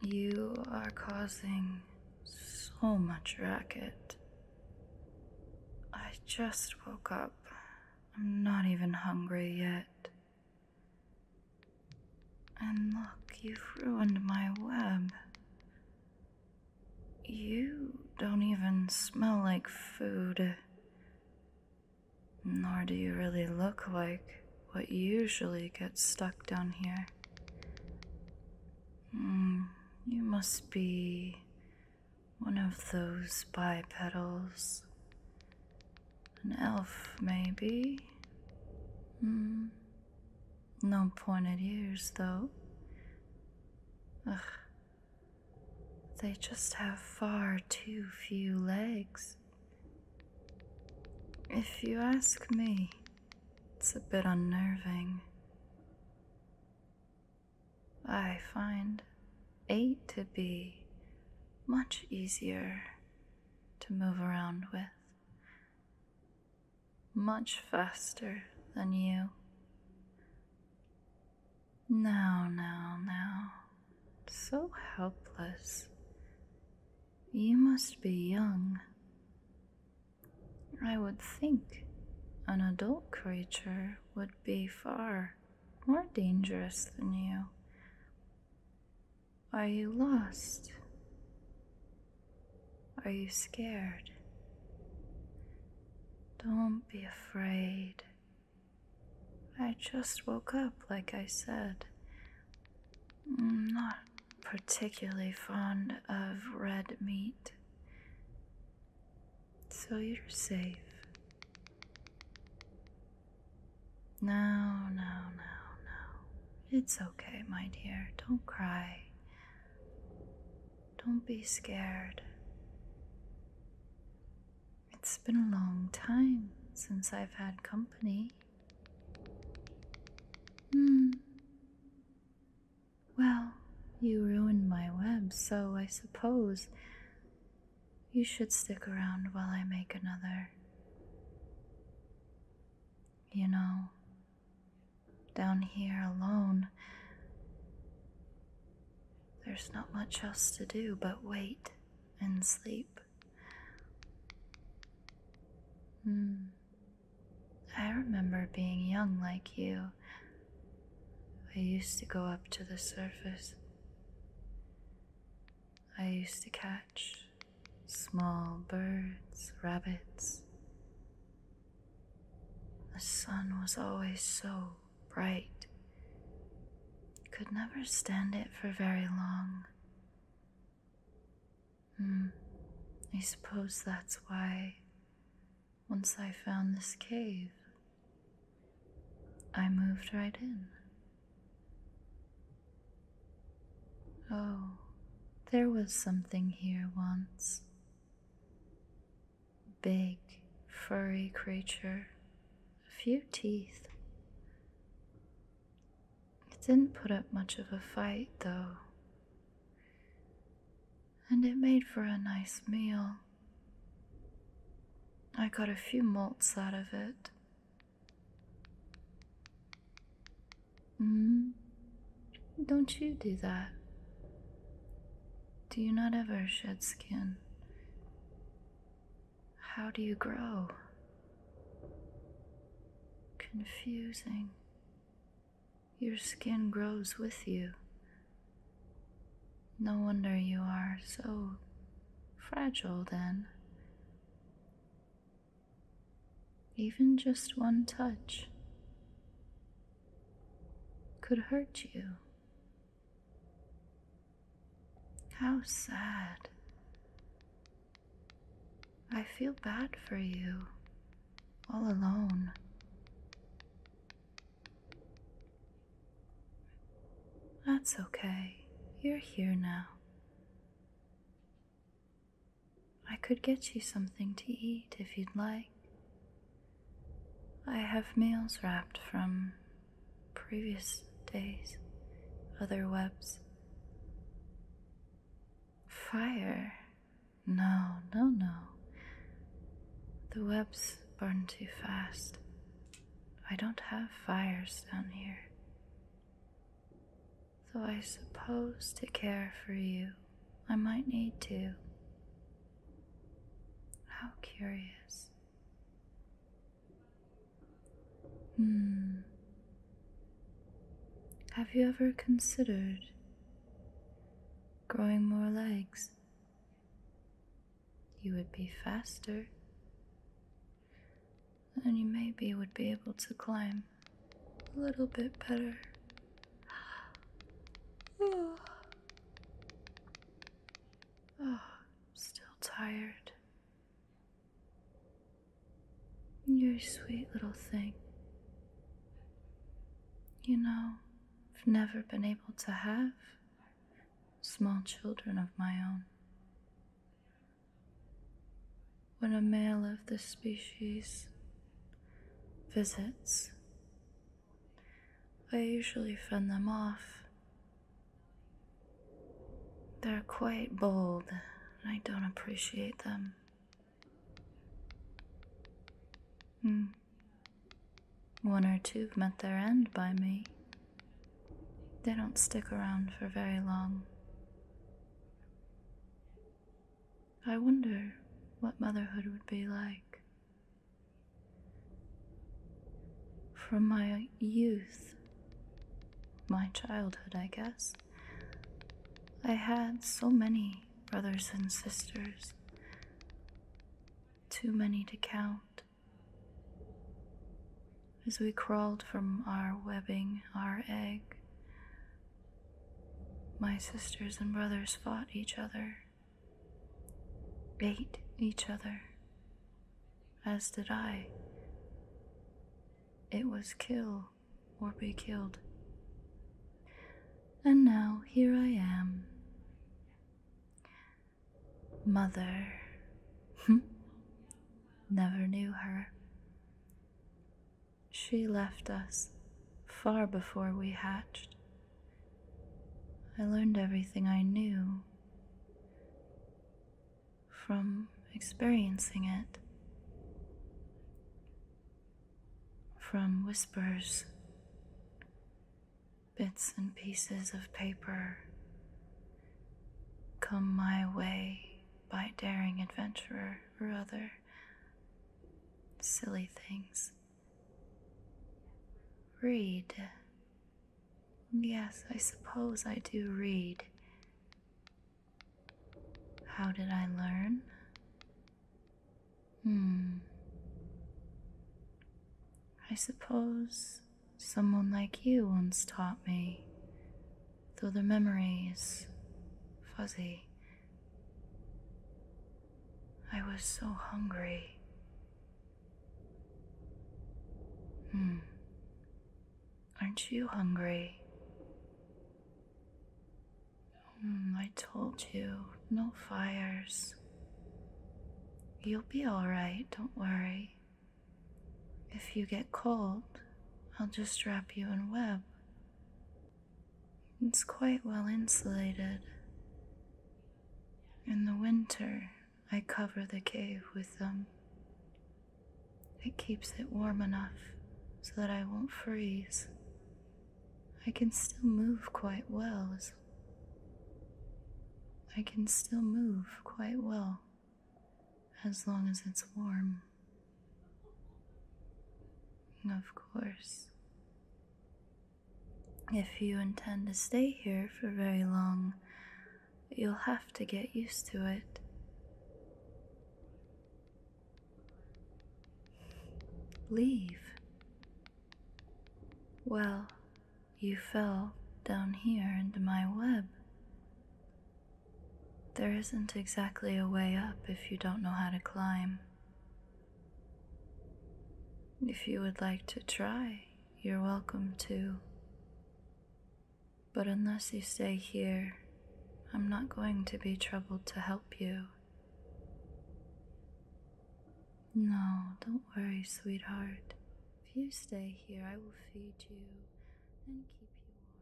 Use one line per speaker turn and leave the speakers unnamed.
You are causing so much racket. I just woke up. I'm not even hungry yet. And look, you've ruined my web. You don't even smell like food. Nor do you really look like what usually gets stuck down here. Mm, you must be one of those bipedals. An elf, maybe? Hmm. No pointed ears, though. Ugh. They just have far too few legs. If you ask me, it's a bit unnerving. I find eight to be much easier to move around with much faster than you. Now, now, now. So helpless. You must be young. I would think an adult creature would be far more dangerous than you. Are you lost? Are you scared? Don't be afraid. I just woke up, like I said. I'm not particularly fond of red meat. So you're safe. No, no, no, no. It's okay, my dear. Don't cry. Don't be scared. It's been a long time since I've had company. Hmm. Well, you ruined my web, so I suppose you should stick around while I make another you know, down here alone. There's not much else to do but wait and sleep. Hmm. I remember being young like you. I used to go up to the surface. I used to catch small birds, rabbits. The sun was always so bright. Could never stand it for very long. Hmm, I suppose that's why, once I found this cave, I moved right in. Oh, there was something here once. Big, furry creature, a few teeth. It didn't put up much of a fight, though, and it made for a nice meal. I got a few molts out of it, Hmm? Don't you do that? Do you not ever shed skin? How do you grow? Confusing. Your skin grows with you. No wonder you are so fragile then. Even just one touch could hurt you. How sad. I feel bad for you, all alone. That's okay. You're here now. I could get you something to eat if you'd like. I have meals wrapped from previous days, other webs. Fire? No, no, no. The webs burn too fast. I don't have fires down here. So I suppose to care for you, I might need to. How curious. Hmm. Have you ever considered growing more legs? You would be faster and you maybe would be able to climb a little bit better. Oh, still tired. You're a sweet little thing. You know, I've never been able to have small children of my own when a male of this species visits, I usually fend them off. They're quite bold, and I don't appreciate them. Hmm. One or two have met their end by me. They don't stick around for very long. I wonder what motherhood would be like. From my youth, my childhood, I guess, I had so many brothers and sisters, too many to count. As we crawled from our webbing, our egg, my sisters and brothers fought each other, ate each other, as did I. It was kill or be killed. And now here I am. Mother. Never knew her. She left us far before we hatched. I learned everything I knew from experiencing it, from whispers, bits and pieces of paper come my way by daring adventurer or other silly things. Read. Yes, I suppose I do read. How did I learn? Hmm. I suppose someone like you once taught me though the memory is fuzzy. I was so hungry. Hmm. Aren't you hungry? Mm, I told you, no fires. You'll be alright, don't worry. If you get cold, I'll just wrap you in web. It's quite well insulated. In the winter, I cover the cave with them. It keeps it warm enough so that I won't freeze. I can still move quite well. I can still move quite well as long as it's warm. Of course. If you intend to stay here for very long, you'll have to get used to it. Leave. Well, you fell down here into my web. There isn't exactly a way up if you don't know how to climb. If you would like to try, you're welcome to. But unless you stay here, I'm not going to be troubled to help you. No, don't worry, sweetheart. If you stay here, I will feed you and keep you warm.